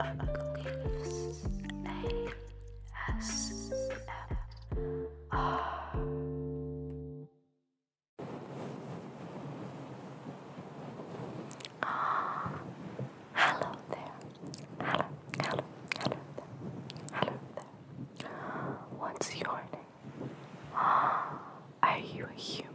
Ugly's Ah, hello there. Hello, hello, hello there. Hello there. What's your name? Are you a human?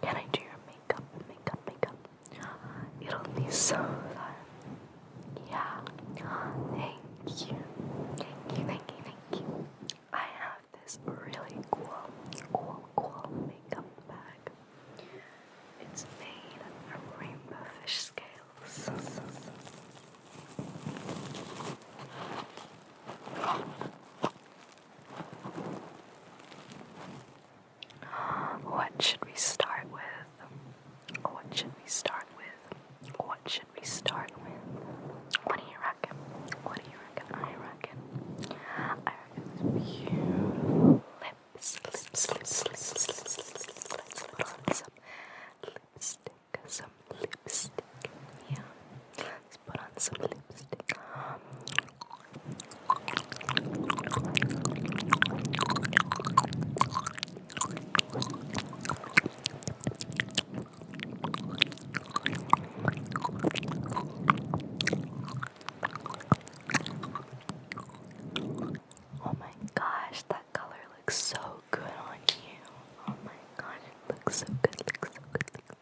Can I do your makeup? Makeup, makeup. It'll be so fun. Yeah. Thank you. Thank you, thank you, thank you. I have this really cool, cool, cool makeup bag. It's made from rainbow fish scales. What should we start with? What should we start with? What should we start with? What do you reckon? What do you reckon? I reckon. I reckon this beautiful lips, lips, lips, lips, lips, lips. Let's put on some lipstick, some lipstick. Yeah. Let's put on some lipstick. Oh my gosh, that color looks so good on you. Oh my gosh, it looks so good, looks so good,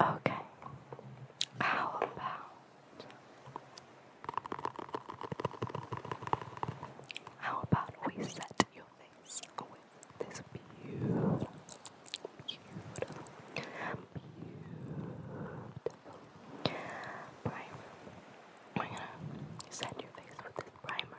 Okay. How about how about we set your face with this beautiful, beautiful, primer? We're gonna set your face with this primer.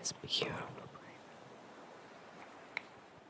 It's beautiful.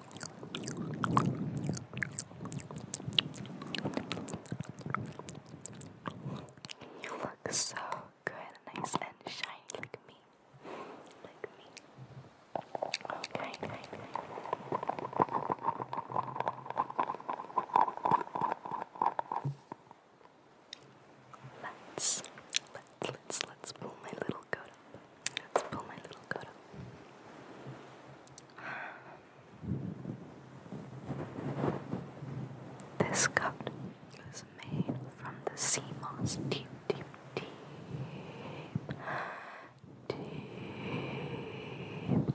You look so good, nice and shiny, like me. Like me. Okay, okay. Let's, let's, let's, let's pull my little coat Let's pull my little coat up. This coat is made from the sea moss deep, deep, deep, deep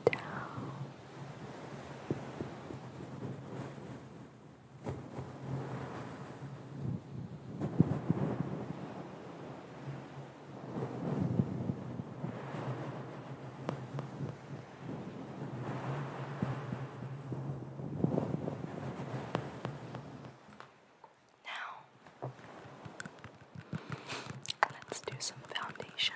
down. Deep now, let's do some foundation.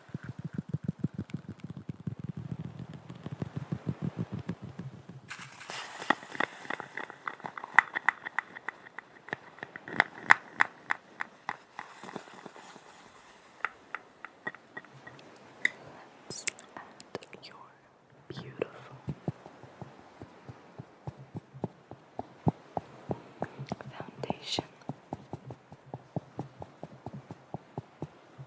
Let's your beautiful foundation.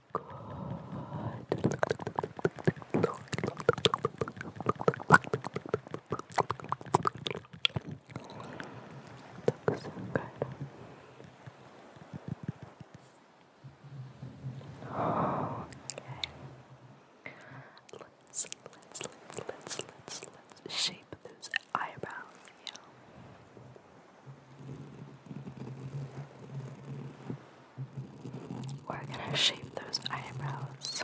Looks good. Okay. Let's let's let's let's let's let's shape those eyebrows, we're gonna shape those eyebrows.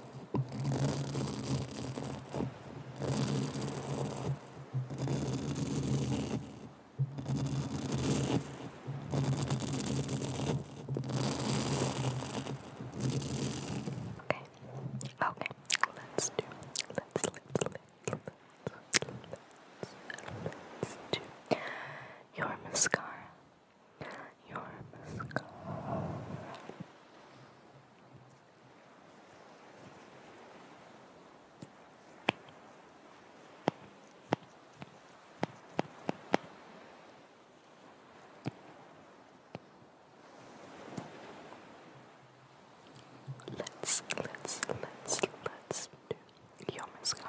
Okay, let's do, let's, let's, let's, let's, let's, let's do your mascara your mascara. Let's let's let's let's do your mascara.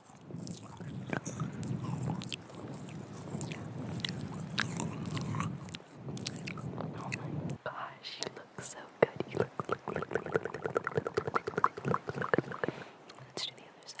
gosh, you look so good. You look, look, look, look, look, look, look, look, look, look, look. Let's do the other side.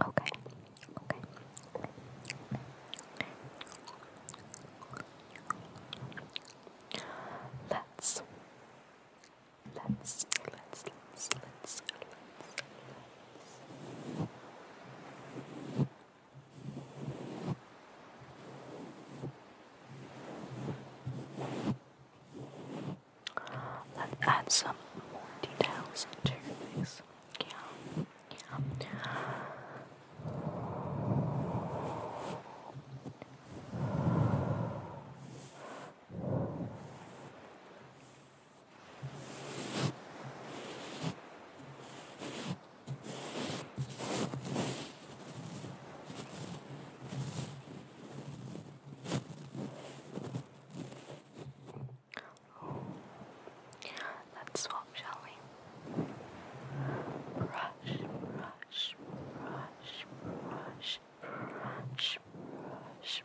Okay. Okay. Let's let's let's let's let's let's Let's add some more details into your Yeah. yeah. Oh, let's swap, shall we? Brush, brush, brush, brush, brush, brush,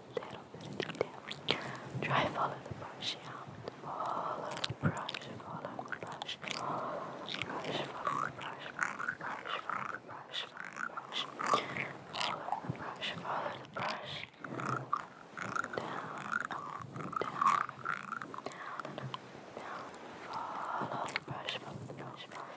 little bit of detail. Try follow the brush, yeah. Follow the brush, follow the brush, follow the brush, follow the brush, follow the brush, follow the brush, follow the brush, follow the brush, follow the brush, follow the brush. Down, up, down, down, up, down. Follow the brush, follow the brush, follow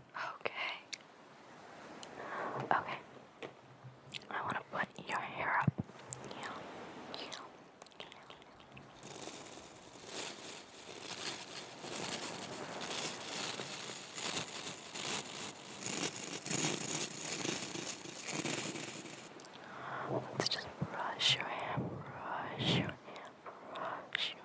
Okay. Okay. I want to put your hair up. Yeah. Let's just brush your hair, brush your hair, brush your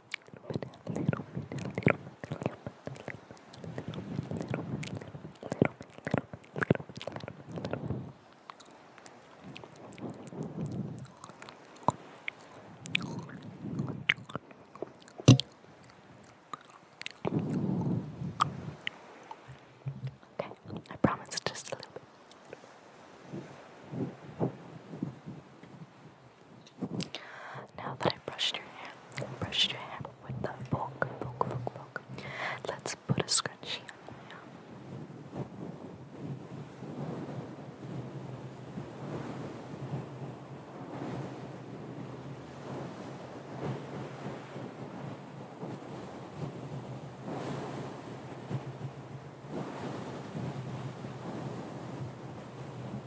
Okay, I promise just a little bit. Now that I brushed your hair, brushed your hair with the book, book, book, book. Let's put a scrunchie on there. Now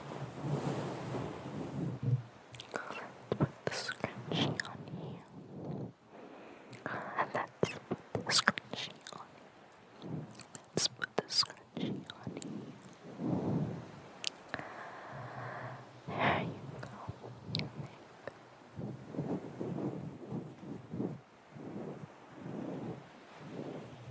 Let's put the scrunchie on here. let's put the scrunchie on here. Let's put the scrunchie on here. There you go.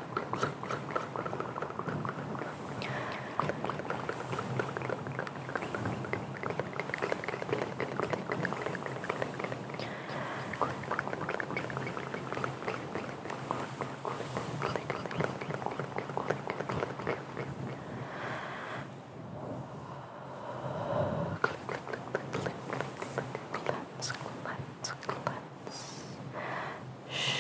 Let's cleanse, cleanse, Shh.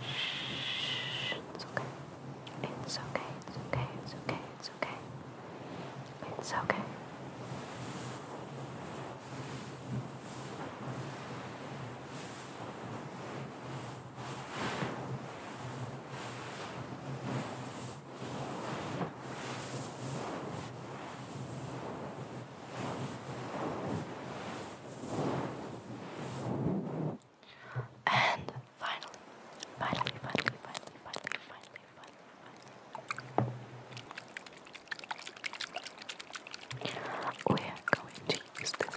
Shh. It's okay. It's okay. It's okay. It's okay. It's okay. It's okay. It's okay. And finally, finally, finally, finally, finally, finally, finally, we are going to use this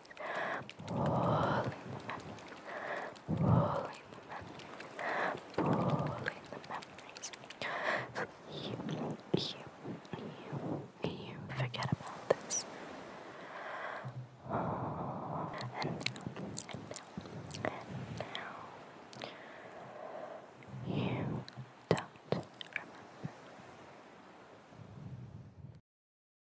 Pull in the memories. Pull the memories. you, you, you, you forget about this. And now, and now, and now. You don't remember.